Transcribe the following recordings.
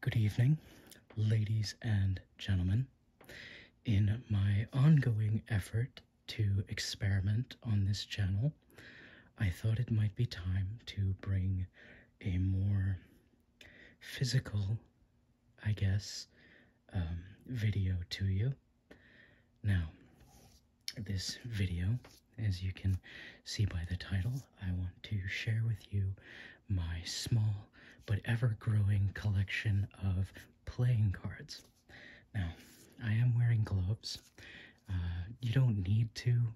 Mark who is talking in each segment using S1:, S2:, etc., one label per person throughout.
S1: Good evening, ladies and gentlemen. In my ongoing effort to experiment on this channel, I thought it might be time to bring a more physical, I guess, um, video to you. Now, this video as you can see by the title, I want to share with you my small but ever growing collection of playing cards. Now, I am wearing gloves. Uh, you don't need to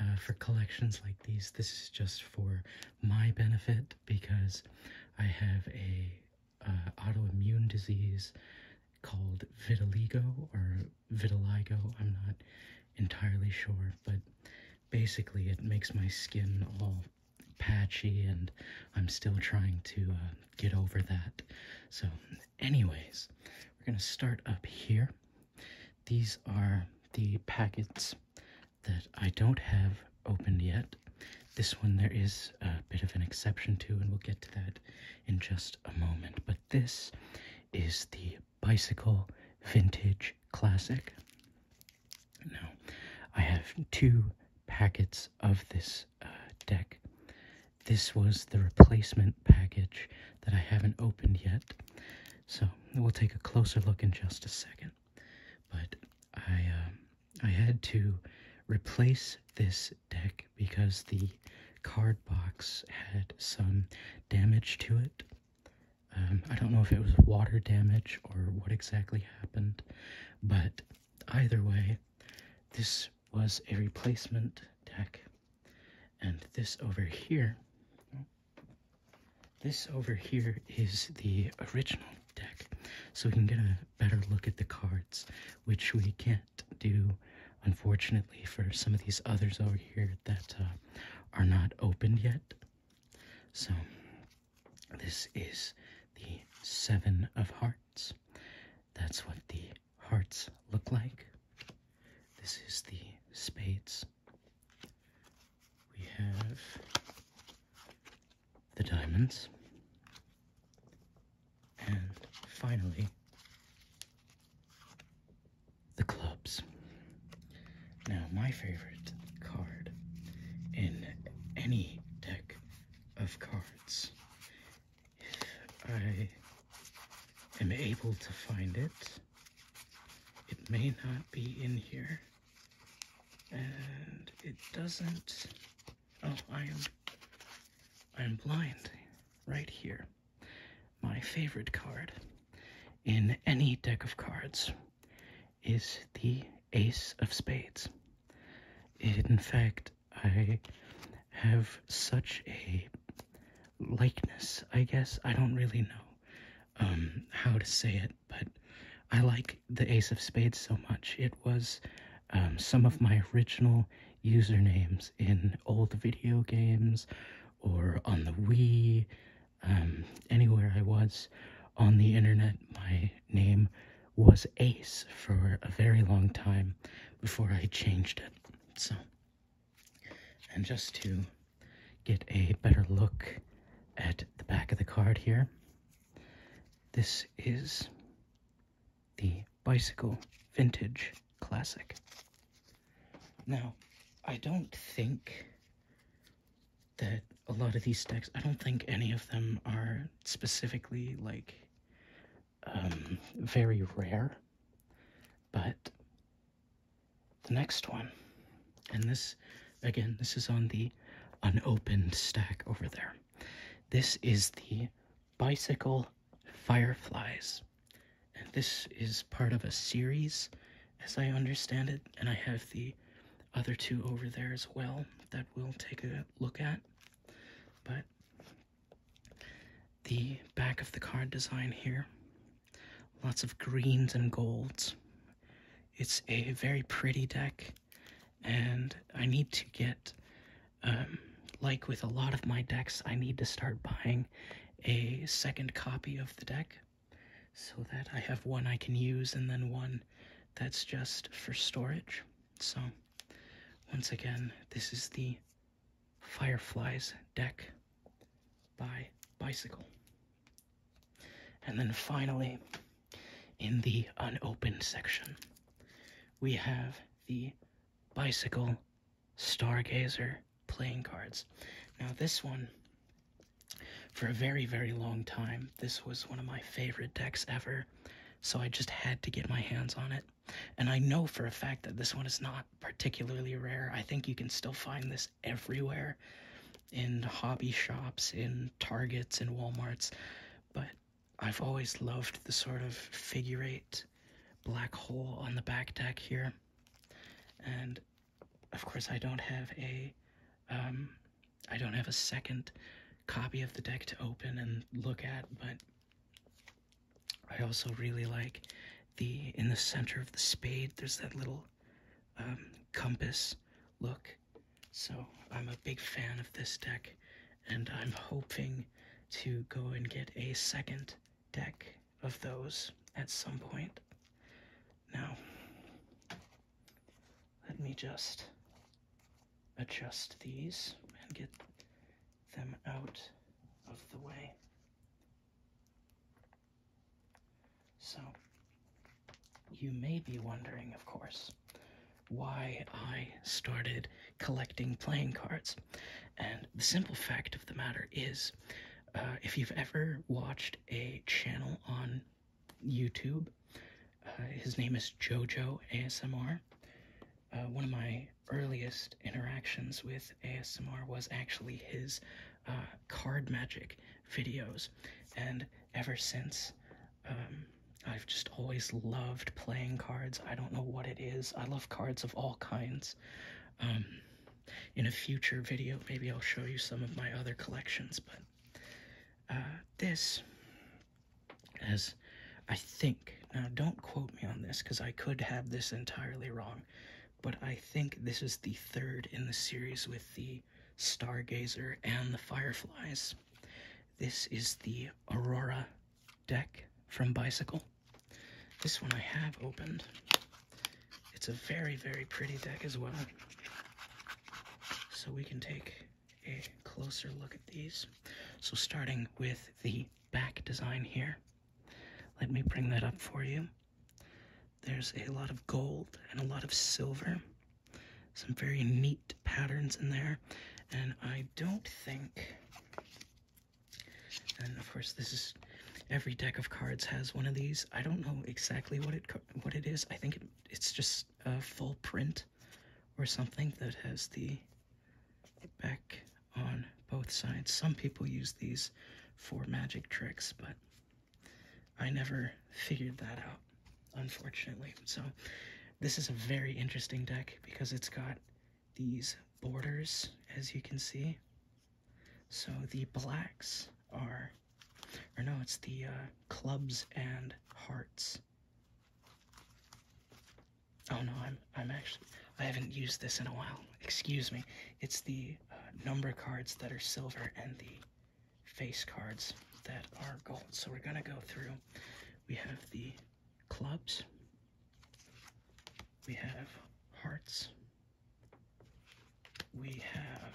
S1: uh, for collections like these. This is just for my benefit because I have a uh, autoimmune disease called vitiligo or vitiligo, I'm not entirely sure, but basically it makes my skin all patchy and I'm still trying to uh, get over that. So anyways, we're going to start up here. These are the packets that I don't have opened yet. This one there is a bit of an exception to, and we'll get to that in just a moment. But this is the bicycle vintage classic. Now, I have two packets of this uh, deck. This was the replacement package that I haven't opened yet. So we'll take a closer look in just a second. But I, um, I had to replace this deck because the card box had some damage to it. Um, I don't know if it was water damage or what exactly happened, but either way, this was a replacement deck. And this over here, this over here is the original deck. So we can get a better look at the cards, which we can't do, unfortunately, for some of these others over here at that top. Uh, are not opened yet. So, this is the Seven of Hearts. That's what the hearts look like. This is the spades. We have the diamonds. And finally, the clubs. Now, my favorite card in any deck of cards, if I am able to find it, it may not be in here, and it doesn't, oh, I am, I am blind right here. My favorite card in any deck of cards is the Ace of Spades. In fact, I have such a likeness, I guess. I don't really know um, how to say it, but I like the Ace of Spades so much. It was um, some of my original usernames in old video games or on the Wii um, anywhere I was on the internet, my name was Ace for a very long time before I changed it. So, and just to get a better look at the back of the card here, this is the Bicycle Vintage Classic. Now, I don't think that a lot of these stacks, I don't think any of them are specifically like um, very rare, but the next one, and this again, this is on the unopened stack over there. This is the Bicycle Fireflies and this is part of a series, as I understand it, and I have the other two over there as well that we'll take a look at. But the back of the card design here, lots of greens and golds. It's a very pretty deck, and I need to get, um, like with a lot of my decks, I need to start buying a second copy of the deck so that I have one I can use and then one that's just for storage. So, once again, this is the Fireflies deck by Bicycle. And then finally, in the unopened section, we have the Bicycle Stargazer playing cards. Now, this one, for a very, very long time, this was one of my favorite decks ever, so I just had to get my hands on it. And I know for a fact that this one is not particularly rare. I think you can still find this everywhere in hobby shops, in Targets, in Walmarts, but I've always loved the sort of figure eight black hole on the back deck here. And of course, I don't have a, um, don't have a second copy of the deck to open and look at, but I also really like the, in the center of the spade, there's that little um, compass look. So I'm a big fan of this deck, and I'm hoping to go and get a second deck of those at some point. Now, let me just adjust these and get them out of the way. So, you may be wondering, of course, why I started collecting playing cards. And the simple fact of the matter is, uh, if you've ever watched a channel on YouTube. Uh, his name is JoJo ASMR. Uh, one of my earliest interactions with ASMR was actually his uh, card magic videos, and ever since, um, I've just always loved playing cards. I don't know what it is. I love cards of all kinds. Um, in a future video, maybe I'll show you some of my other collections, but uh, this as I think, now don't quote me on this because I could have this entirely wrong, but I think this is the third in the series with the Stargazer and the Fireflies. This is the Aurora deck from Bicycle. This one I have opened. It's a very, very pretty deck as well. So we can take a closer look at these. So starting with the back design here, let me bring that up for you. There's a lot of gold and a lot of silver. Some very neat patterns in there. And I don't think, and of course this is Every deck of cards has one of these. I don't know exactly what it what it is. I think it's just a full print or something that has the back on both sides. Some people use these for magic tricks, but I never figured that out, unfortunately. So this is a very interesting deck because it's got these borders, as you can see. So the blacks are or no, it's the uh, clubs and hearts. Oh no, I'm I'm actually I haven't used this in a while. Excuse me. It's the uh, number cards that are silver and the face cards that are gold. So we're gonna go through. We have the clubs. We have hearts we have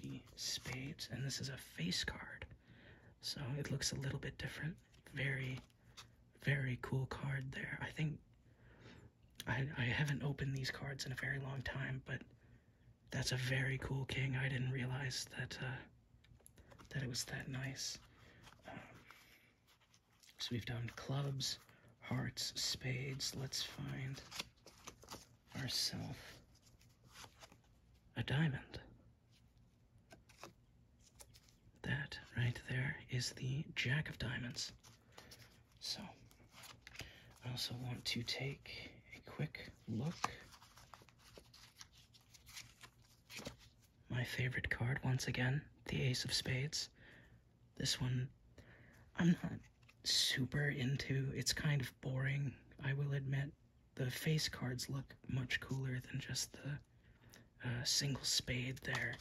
S1: the spades, and this is a face card. So it looks a little bit different. Very, very cool card there. I think I, I haven't opened these cards in a very long time, but that's a very cool king. I didn't realize that uh, that it was that nice. Um, so we've done clubs, hearts, spades. Let's find ourselves a diamond. That right there is the Jack of Diamonds. So I also want to take a quick look. My favorite card, once again, the Ace of Spades. This one, I'm not super into. It's kind of boring, I will admit. The face cards look much cooler than just the uh, single spade there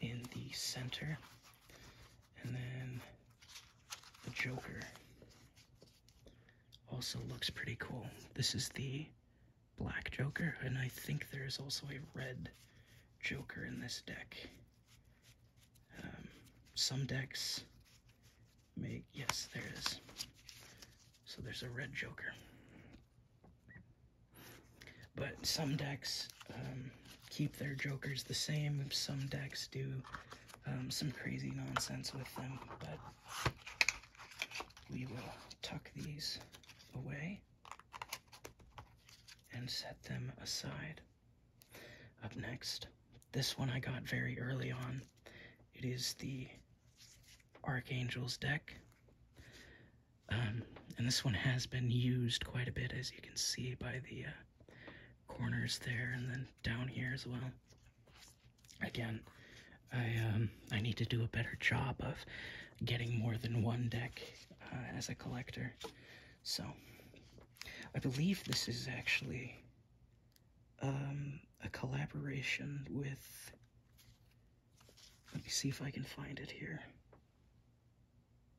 S1: in the center. And then the Joker also looks pretty cool. This is the black Joker, and I think there is also a red Joker in this deck. Um, some decks make, yes, there it is. So there's a red joker. But some decks um, keep their jokers the same. Some decks do um, some crazy nonsense with them, but we will tuck these away and set them aside. Up next, this one I got very early on. It is the Archangels deck. Um, and this one has been used quite a bit, as you can see by the uh, corners there and then down here as well. Again, I, um, I need to do a better job of getting more than one deck uh, as a collector. So, I believe this is actually um, a collaboration with. Let me see if I can find it here.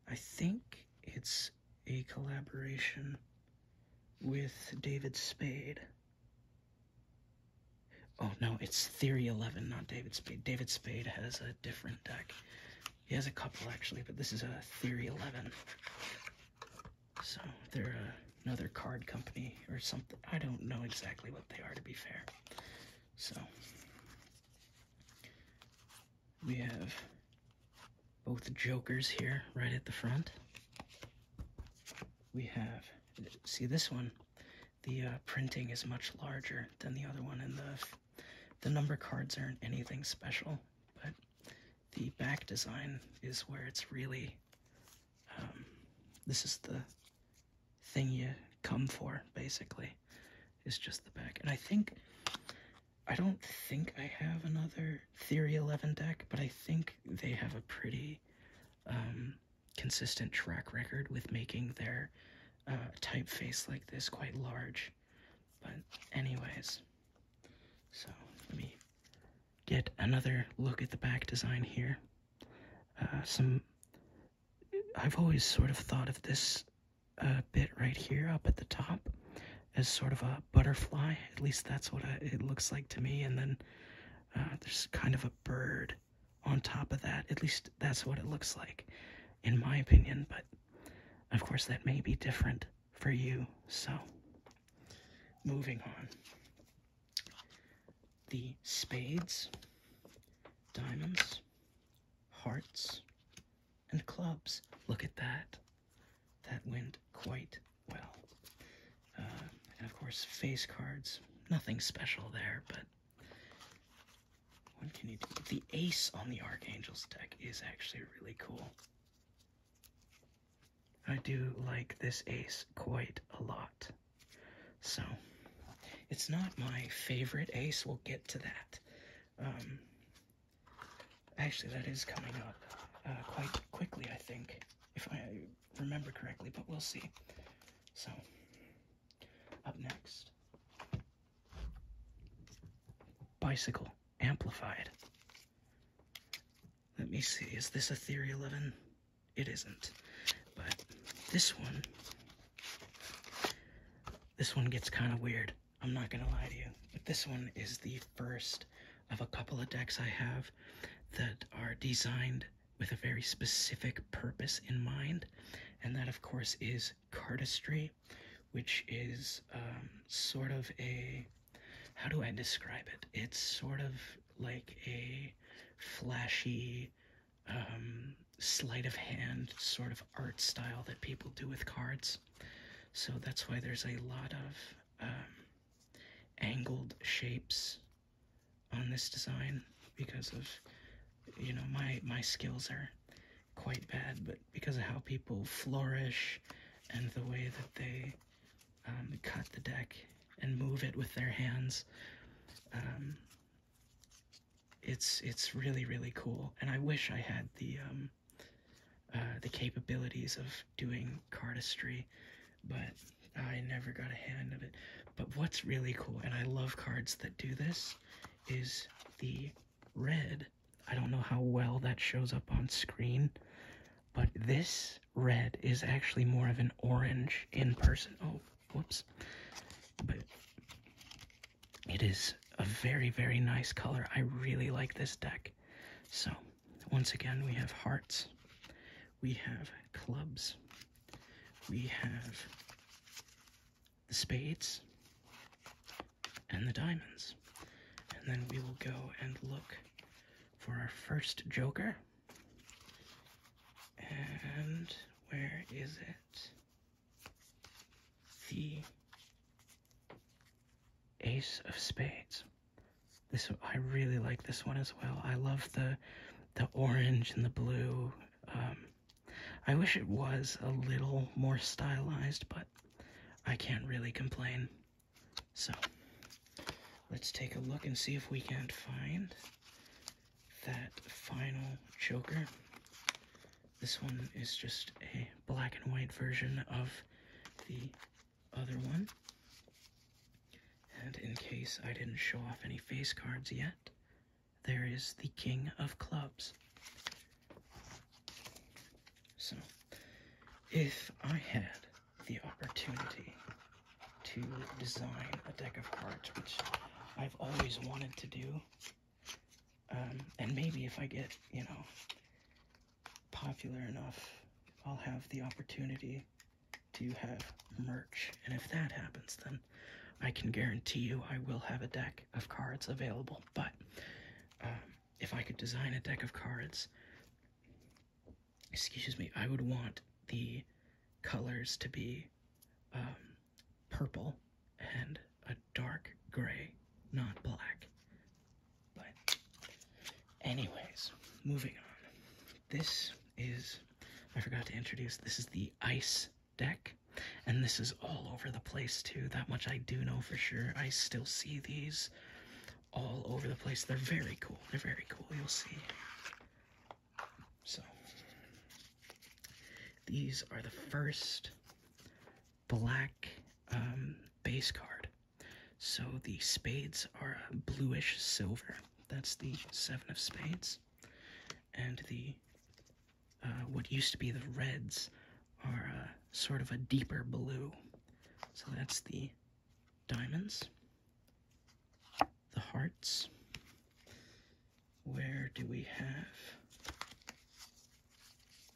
S1: I think it's a collaboration with David Spade. Oh no, it's Theory 11, not David Spade. David Spade has a different deck. He has a couple actually, but this is a Theory 11. So they're uh, another card company or something. I don't know exactly what they are to be fair. So we have both jokers here right at the front. We have, see this one, the uh, printing is much larger than the other one in the the number cards aren't anything special, but the back design is where it's really. Um, this is the thing you come for, basically. It's just the back. And I think. I don't think I have another Theory 11 deck, but I think they have a pretty um, consistent track record with making their uh, typeface like this quite large. But anyways, so let me get another look at the back design here. Uh, some I've always sort of thought of this uh, bit right here up at the top as sort of a butterfly. At least that's what it looks like to me. And then uh, there's kind of a bird on top of that. At least that's what it looks like, in my opinion. But of course, that may be different for you. So, moving on. The spades, diamonds, hearts, and clubs. Look at that. That went quite well. Uh, and of course, face cards. Nothing special there, but the ace on the Archangel's deck is actually really cool. I do like this ace quite a lot. So, it's not my favorite ace. We'll get to that. Um, actually, that is coming up uh, quite quickly, I think, if I remember correctly, but we'll see. So, up next, Bicycle amplified. Let me see, is this a Theory 11? It isn't. But this one, this one gets kind of weird. I'm not going to lie to you. But this one is the first of a couple of decks I have that are designed with a very specific purpose in mind. And that, of course, is cardistry, which is um, sort of a how do I describe it? It's sort of like a flashy um, sleight of hand sort of art style that people do with cards. So that's why there's a lot of um, angled shapes on this design because of you know my my skills are quite bad, but because of how people flourish and the way that they um, cut the deck and move it with their hands, um, it's it's really really cool. And I wish I had the um, uh, the capabilities of doing cardistry, but I never got a hand of it. But what's really cool, and I love cards that do this, is the red. I don't know how well that shows up on screen, but this red is actually more of an orange in person. Oh, whoops. But it is a very, very nice color. I really like this deck. So, once again, we have hearts, we have clubs, we have the spades, and the diamonds. And then we will go and look for our first joker. And where is it? The ace of spades. This I really like this one as well. I love the the orange and the blue. Um, I wish it was a little more stylized, but I can't really complain. So, let's take a look and see if we can't find that final Joker. This one is just a black and white version of the other one. And in case I didn't show off any face cards yet, there is the King of Clubs. So, if I had the opportunity to design a deck of cards, which I've always wanted to do, um, and maybe if I get, you know, popular enough, I'll have the opportunity to have merch. And if that happens, then I can guarantee you I will have a deck of cards available. But um, if I could design a deck of cards, excuse me, I would want the colors to be um, purple and a dark gray, not black. But, anyways, moving on. This is, I forgot to introduce, this is the ice deck, and this is all over the place too. That much I do know for sure. I still see these all over the place. They're very cool. They're very cool. You'll see. So these are the first black um, base card. So the spades are bluish silver. That's the seven of spades. And the uh, what used to be the reds are sort of a deeper blue. So that's the diamonds, the hearts. Where do we have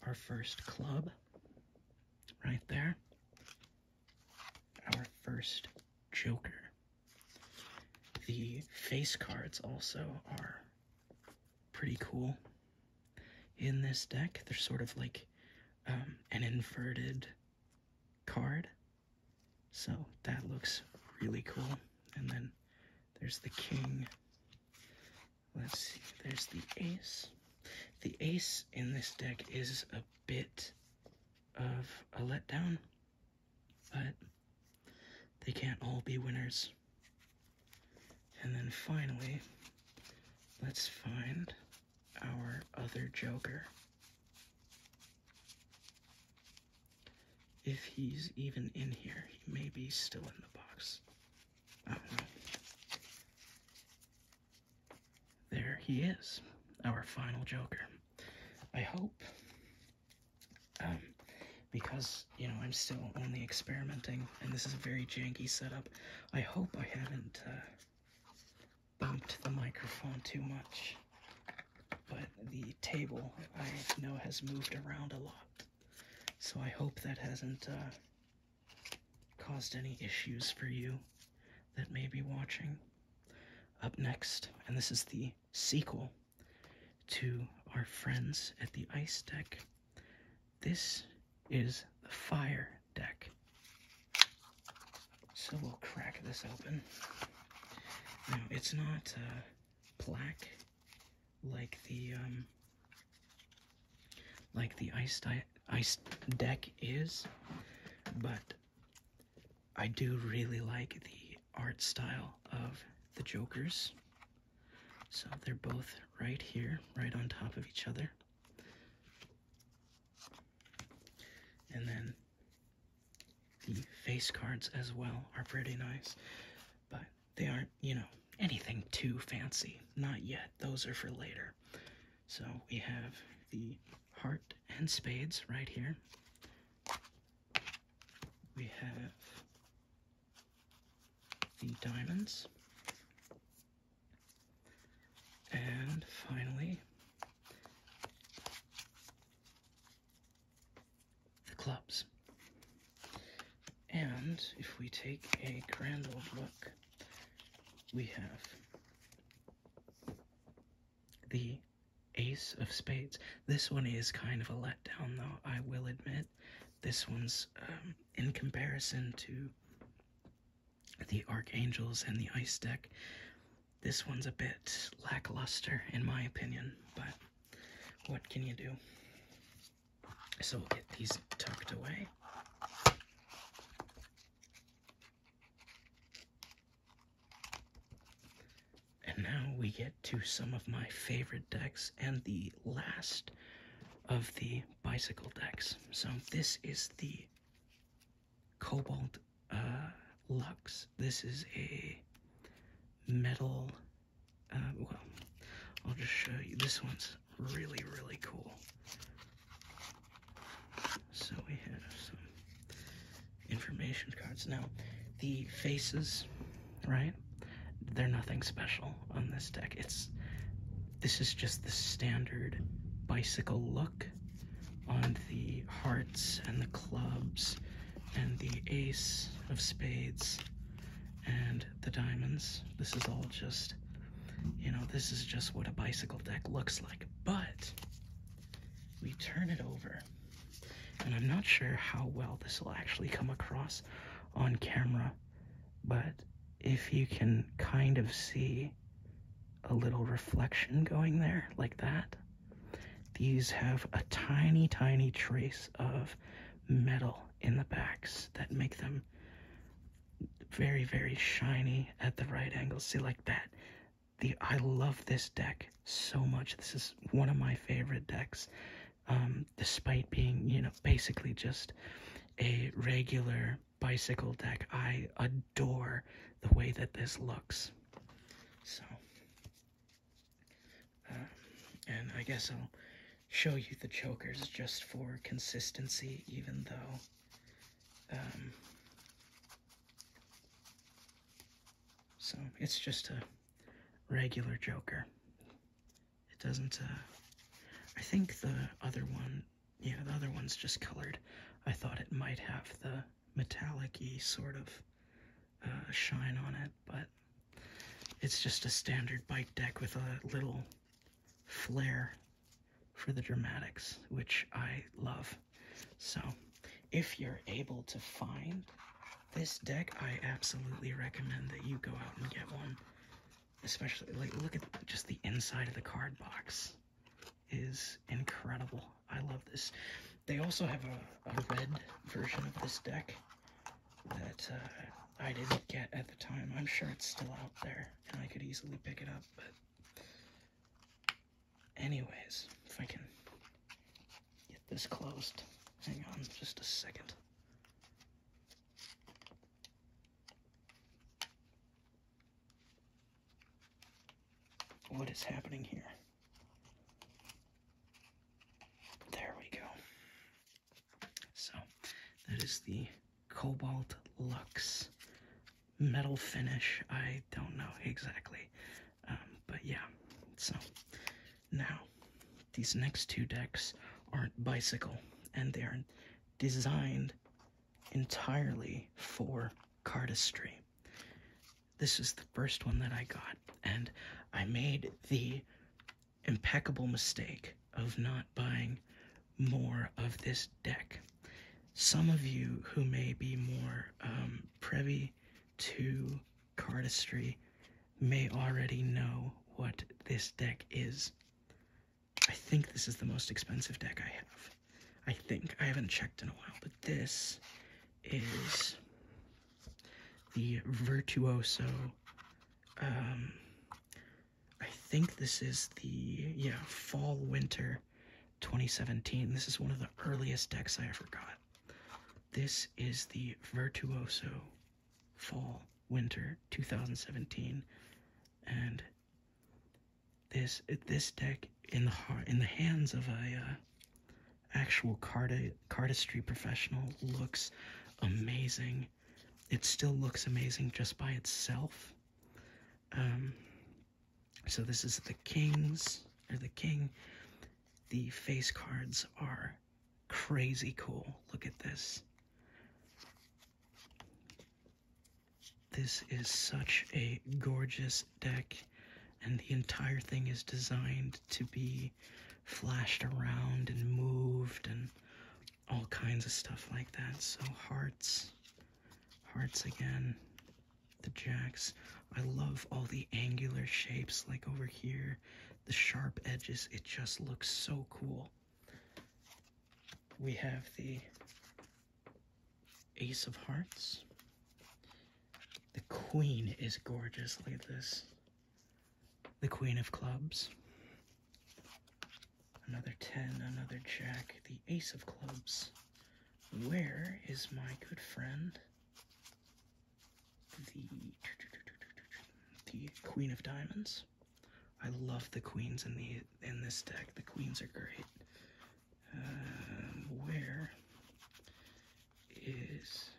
S1: our first club? Right there. Our first joker. The face cards also are pretty cool in this deck. They're sort of like um, an inverted card. So that looks really cool. And then there's the king. Let's see, there's the ace. The ace in this deck is a bit of a letdown, but they can't all be winners. And then finally, let's find our other Joker. If he's even in here, he may be still in the box. I don't know. There he is, our final Joker. I hope, um, because, you know, I'm still only experimenting, and this is a very janky setup, I hope I haven't uh, bumped the microphone too much, but the table I know has moved around a lot, so I hope that hasn't uh, caused any issues for you that may be watching. Up next, and this is the sequel to our friends at the ice deck this is the fire deck. So we'll crack this open. it's not uh, black like the um, like the ice ice deck is, but I do really like the art style of the Jokers. So they're both right here, right on top of each other. And then the face cards as well are pretty nice, but they aren't, you know, anything too fancy. Not yet. Those are for later. So we have the heart and spades right here. We have the diamonds. And finally, the clubs. And if we take a grand old look, we have the ace of spades. This one is kind of a letdown, though, I will admit this one's um, in comparison to the Archangels and the Ice deck. This one's a bit lackluster, in my opinion, but what can you do? So we'll get these tucked away. And now we get to some of my favorite decks and the last of the bicycle decks. So this is the Cobalt uh, Lux. This is a metal, uh, well, I'll just show you. This one's really, really cool. So we have some information cards. Now, the faces, right? They're nothing special on this deck. It's this is just the standard bicycle look on the hearts and the clubs and the ace of spades and the diamonds. This is all just, you know, this is just what a bicycle deck looks like. But we turn it over, and I'm not sure how well this will actually come across on camera, but if you can kind of see a little reflection going there like that, these have a tiny, tiny trace of metal in the backs that make them very, very shiny at the right angles. See, like that. The I love this deck so much. This is one of my favorite decks, um, despite being, you know, basically just a regular bicycle deck. I adore the way that this looks. So, uh, and I guess I'll show you the chokers just for consistency, even though, um, so it's just a regular joker. It doesn't, uh, I think the other one yeah, the other one's just colored. I thought it might have the metallic y sort of uh, shine on it, but it's just a standard bike deck with a little flair for the dramatics, which I love. So, if you're able to find this deck, I absolutely recommend that you go out and get one especially like look at just the inside of the card box is incredible. I love this. They also have a, red version of this deck that uh, I didn't get at the time. I'm sure it's still out there and I could easily pick it up, but anyways, if I can get this closed. Hang on just a second. What is happening here? There we go. So, that is the Cobalt Lux metal finish. I don't know exactly, um, but yeah. So, now, these next two decks aren't bicycle, and they are designed entirely for cardistry. This is the first one that I got, and I made the impeccable mistake of not buying more of this deck. Some of you who may be more um, privy to cardistry may already know what this deck is. I think this is the most expensive deck I have. I think. I haven't checked in a while, but this is the Virtuoso. Um, I think this is the, yeah, Fall Winter 2017. This is one of the earliest decks I ever got. This is the Virtuoso Fall Winter 2017. And this this deck in the in the hands of a uh, actual card cardistry professional looks amazing. It still looks amazing just by itself. Um, so this is the kings or the king. The face cards are crazy cool. Look at this. This is such a gorgeous deck, and the entire thing is designed to be flashed around and moved and all kinds of stuff like that. So, hearts, hearts again, the jacks. I love all the angular shapes, like over here, the sharp edges. It just looks so cool. We have the Ace of Hearts. The Queen is gorgeous. Look at this. The Queen of Clubs. Another 10, another Jack. The Ace of Clubs. Where is my good friend? The, the Queen of Diamonds. I love the queens in the in this deck. The queens are great. Um, where is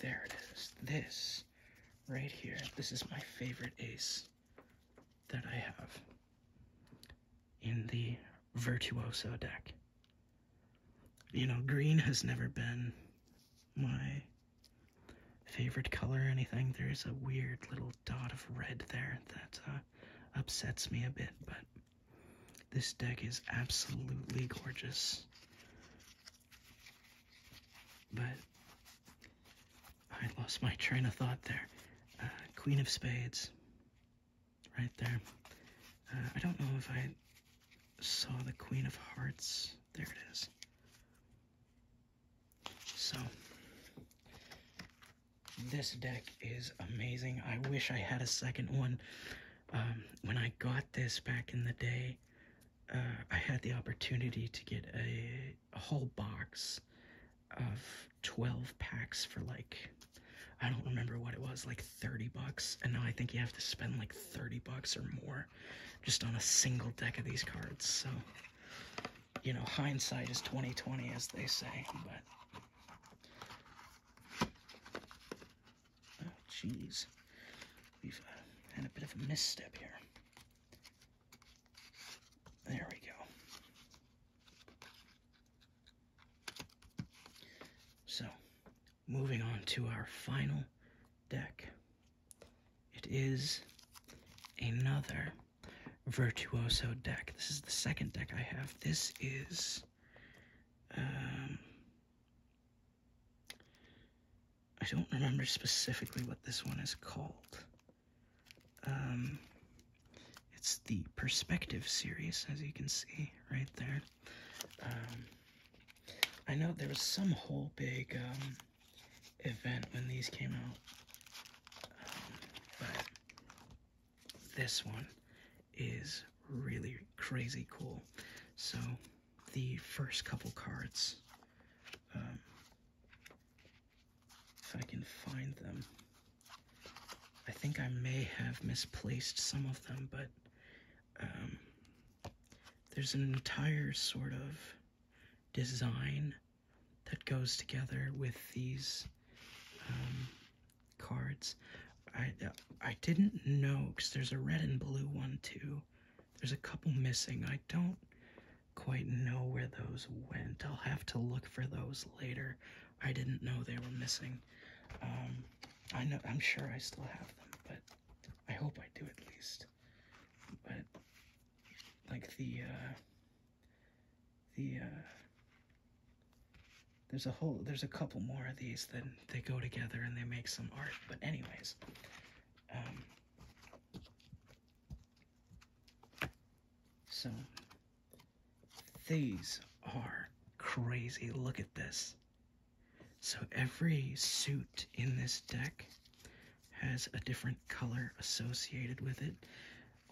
S1: there it is? This right here. This is my favorite ace that I have in the virtuoso deck. You know, green has never been my favorite color or anything. There is a weird little dot of red there that uh, upsets me a bit, but this deck is absolutely gorgeous. But I lost my train of thought there. Uh, Queen of Spades, right there. Uh, I don't know if I saw the Queen of Hearts. There it is. So, this deck is amazing. I wish I had a second one. Um, when I got this back in the day, uh, I had the opportunity to get a whole box of 12 packs for like I don't remember what it was, like 30 bucks. And now I think you have to spend like 30 bucks or more just on a single deck of these cards. So you know, hindsight is 2020, as they say, but, oh, jeez, we've uh, had a bit of a misstep here. There we go. So, moving on to our final deck. It is another virtuoso deck. This is the second deck I have. This is. Um, I don't remember specifically what this one is called. Um, it's the Perspective series, as you can see right there. Um, I know there was some whole big event when these came out. Um, but this one is really crazy cool. So the first couple cards, um, if I can find them, I think I may have misplaced some of them, but um, there's an entire sort of design that goes together with these um, cards. I I didn't know because there's a red and blue one too. There's a couple missing. I don't quite know where those went. I'll have to look for those later. I didn't know they were missing. Um, I know I'm sure I still have them, but I hope I do at least. But like the uh, the uh, there's a whole there's a couple more of these that they go together and they make some art. But anyways, um, so these are crazy. Look at this. So every suit in this deck has a different color associated with it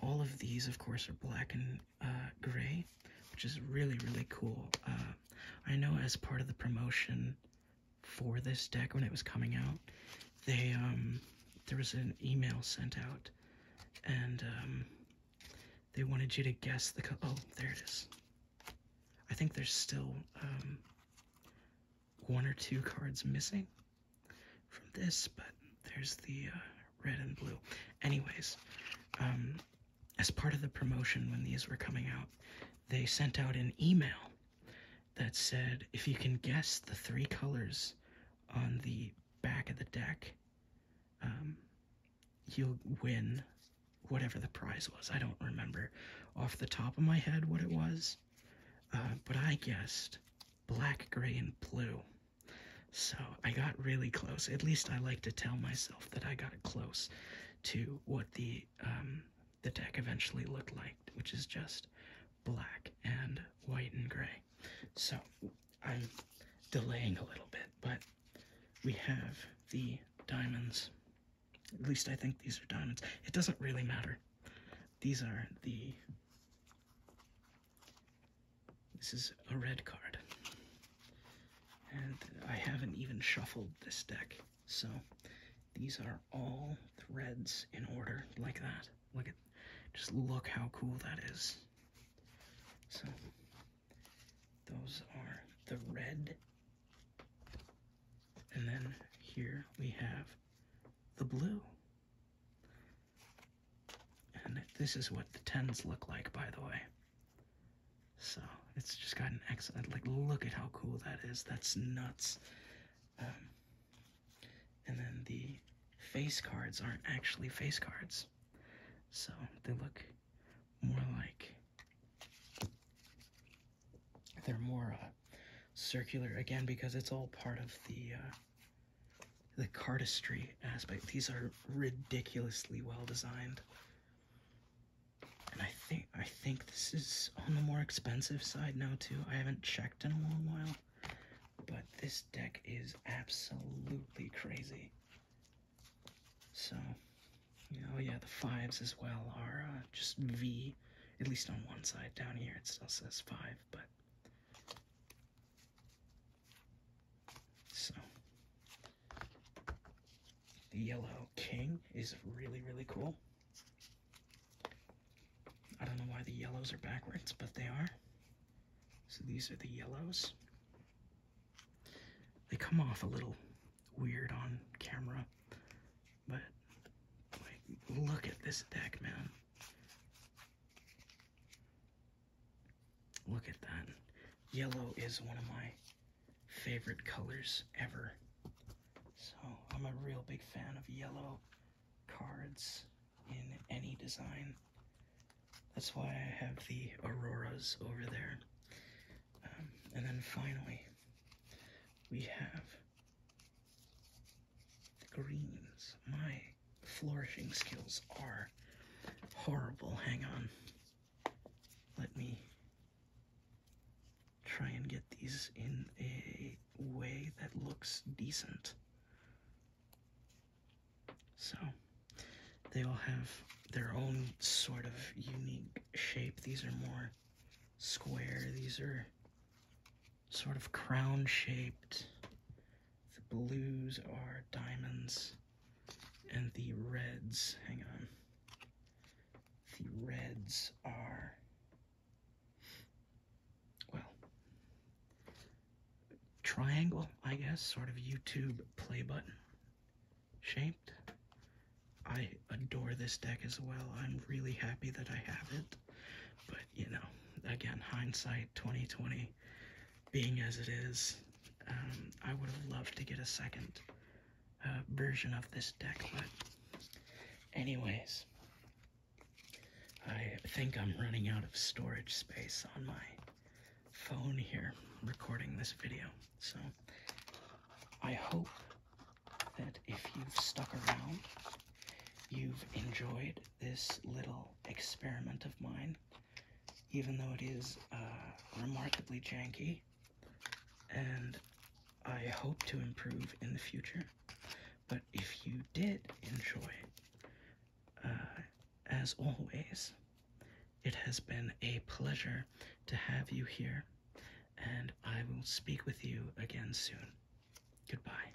S1: all of these, of course, are black and uh, gray, which is really, really cool. Uh, I know as part of the promotion for this deck when it was coming out, they um, there was an email sent out, and um, they wanted you to guess the Oh, there it is. I think there's still um, one or two cards missing from this, but there's the uh, red and blue. Anyways, um, as part of the promotion when these were coming out, they sent out an email that said if you can guess the three colors on the back of the deck, um, you'll win whatever the prize was. I don't remember off the top of my head what it was, uh, but I guessed black, gray, and blue. So I got really close. At least I like to tell myself that I got close to what the um, the deck eventually looked like, which is just black and white and gray. So I'm delaying a little bit, but we have the diamonds. At least I think these are diamonds. It doesn't really matter. These are the this is a red card. And I haven't even shuffled this deck, so these are all the reds in order, like that. Look at, just look how cool that is. So, those are the red. And then here we have the blue. And this is what the tens look like, by the way. So it's just got an excellent, uh, like, look at how cool that is. That's nuts. Um, and then the face cards aren't actually face cards. So they look more like they're more uh, circular again because it's all part of the uh, the cardistry aspect. These are ridiculously well designed. And I think I think this is on the more expensive side now too. I haven't checked in a long while, but this deck is absolutely crazy. So, you yeah, the fives as well are uh, just V, at least on one side. Down here it still says five, but so the yellow king is really, really cool. I don't know why the yellows are backwards, but they are. So these are the yellows. They come off a little weird on camera, but look at this deck, man. Look at that. Yellow is one of my favorite colors ever. So I'm a real big fan of yellow cards in any design. That's why I have the Auroras over there. Um, and then finally, we have the greens. My flourishing skills are horrible. Hang on. Let me try and get these in a way that looks decent. So they all have their own sort of unique shape. These are more square. These are sort of crown shaped. The blues are diamonds, and the reds, hang on, the reds are, well, triangle, I guess, sort of YouTube play button shaped. I adore this deck as well. I'm really happy that I have it, but you know, again, hindsight 2020 being as it is, um, I would have loved to get a second uh, version of this deck, but anyways, I think I'm running out of storage space on my phone here recording this video. So I hope that if you've stuck around, you've enjoyed this little experiment of mine even though it is uh, remarkably janky, and I hope to improve in the future. But if you did enjoy it, uh, as always, it has been a pleasure to have you here, and I will speak with you again soon. Goodbye.